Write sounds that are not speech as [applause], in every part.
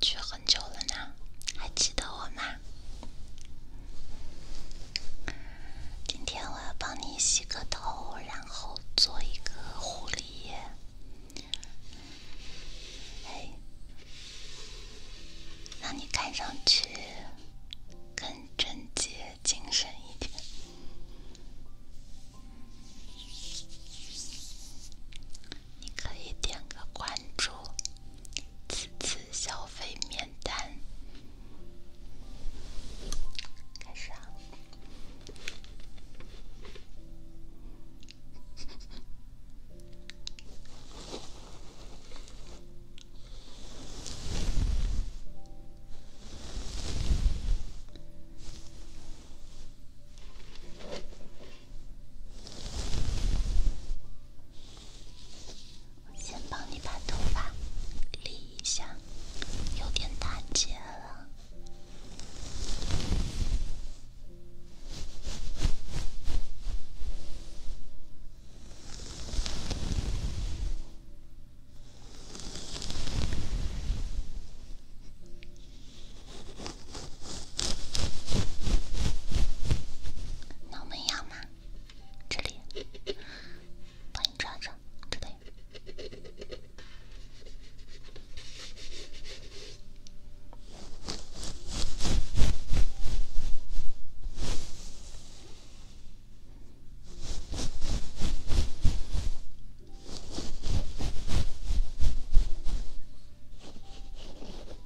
去很久了呢，还记得我吗？今天我要帮你洗个头，然后做一个护理。液。哎，让你看上去更整洁、精神一点。你可以点个关注，此次消费免单。开始啊。我先帮你把头发理一下，有点打结了。怎么样嘛？这里，帮你抓抓，这里。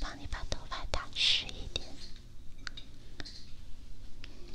帮你把头发打湿一点。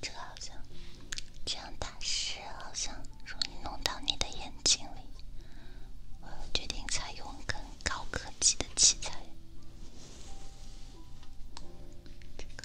这个好像，这样打湿好像容易弄到你的眼睛里。我决定采用更高科技的器材，这个。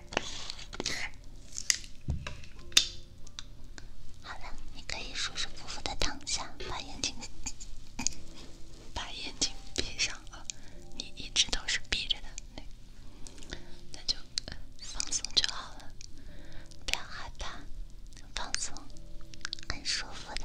好了，你可以舒舒服服的躺下，把眼睛 [laughs] 把眼睛闭上，哦，你一直都是闭着的，那那就放松就好了，不要害怕，放松，很舒服的。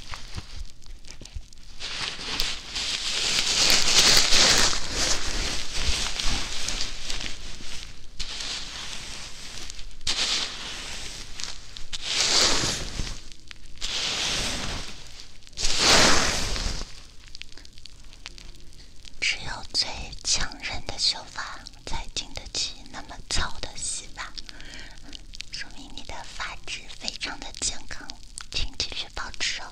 只有最强韧的秀发，才经得起那么糙的洗吧。说明你的发质非常的健康，请继续保持哦。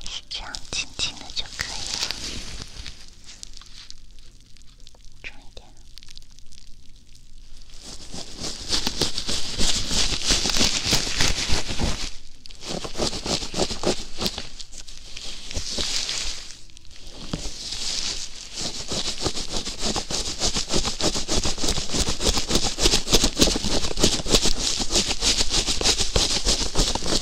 还是这样，轻轻的就可以了。重一点。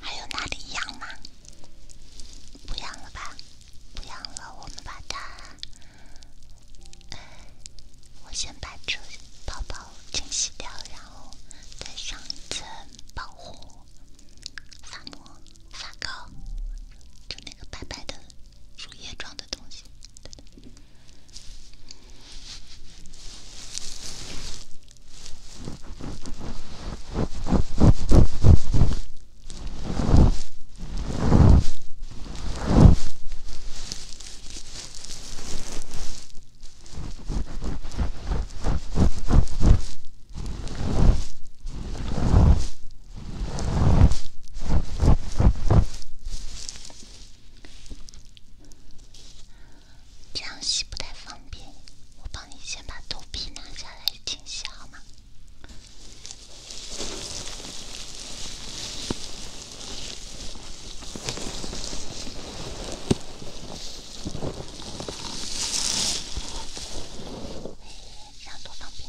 还有哪里痒吗？不养了吧，不养了。我们把它，我先把这泡泡清洗掉，然后再上一层保护发膜、发膏，就那个白白的乳液状的东西。这样洗不太方便，我帮你先把头皮拿下。清晰好吗？向左躺平。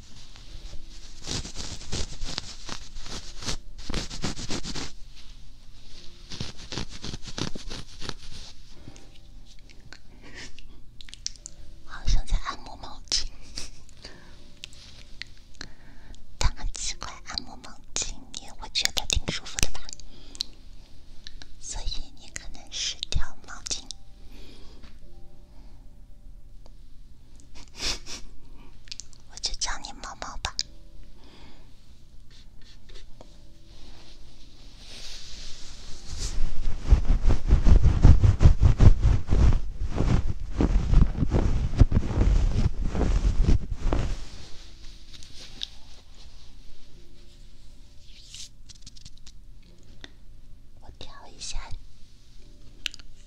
[laughs] 好像在按摩毛巾，[laughs] 但很奇怪，按摩毛巾你会觉得挺舒服的吧？所以你可能是条毛巾。[laughs] 我就叫你猫猫吧。我调一下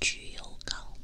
焗油膏。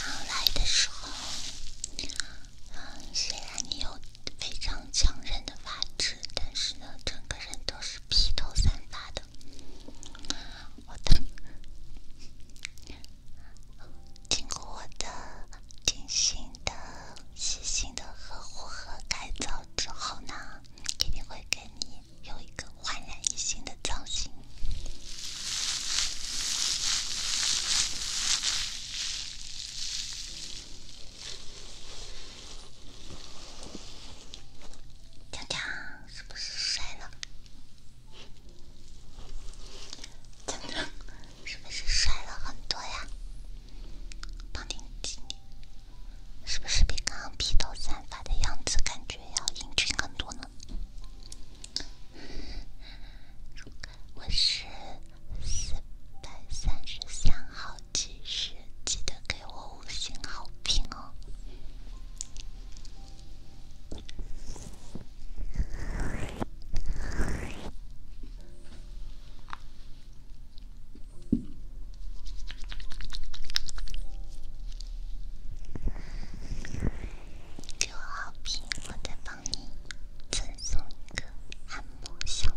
刚来的时候，嗯，虽然你有非常强韧的发质，但是呢，整个人都是披头散发的。我的经过我的精心的、细心的呵护和改造之后呢，一定会给你有一个焕然一新的造型。锵锵！是不是帅呢？是不是帅了很多呀？胖点点，是不是比刚刚披头散发的样子感觉要英俊很多呢？我是四百三十三号技师，记得给我。五星好评哦！给我好评，我再帮你赠送一个按摩小物。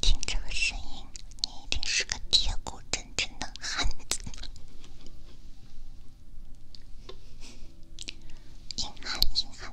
听这个声音，你一定是个铁骨铮铮的汉子。硬汉，硬汉。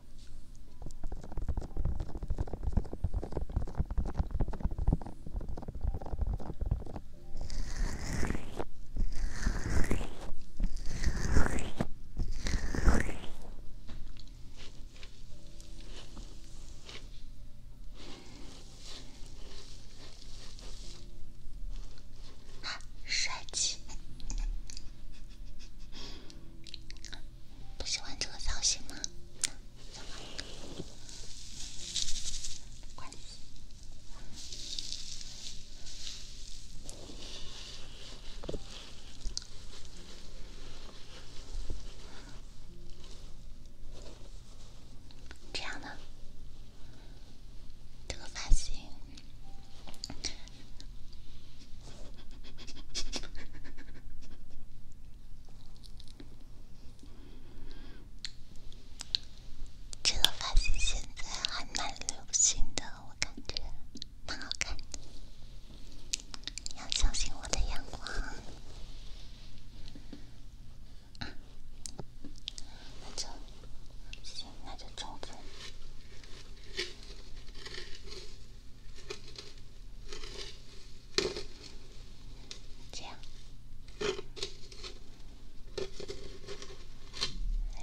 好帅气！不喜欢这个造型吗？这样的，这个发型。[laughs] 这个发型现在还蛮流行的，我感觉蛮好看。要相信我的眼光。这样，嗯，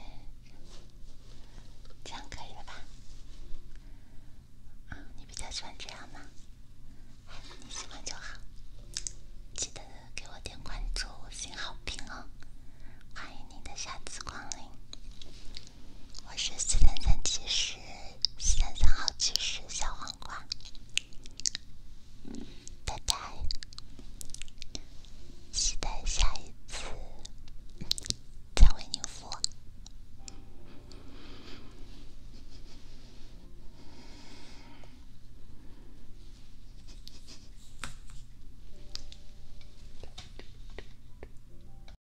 这样可以了吧？啊，你比较喜欢这样吗？你喜欢就好，记得给我点关注、写好评哦！欢迎你的下次光临。我是四三三七十，四三三号七十小黄瓜，拜拜，期待下一次再为您服务。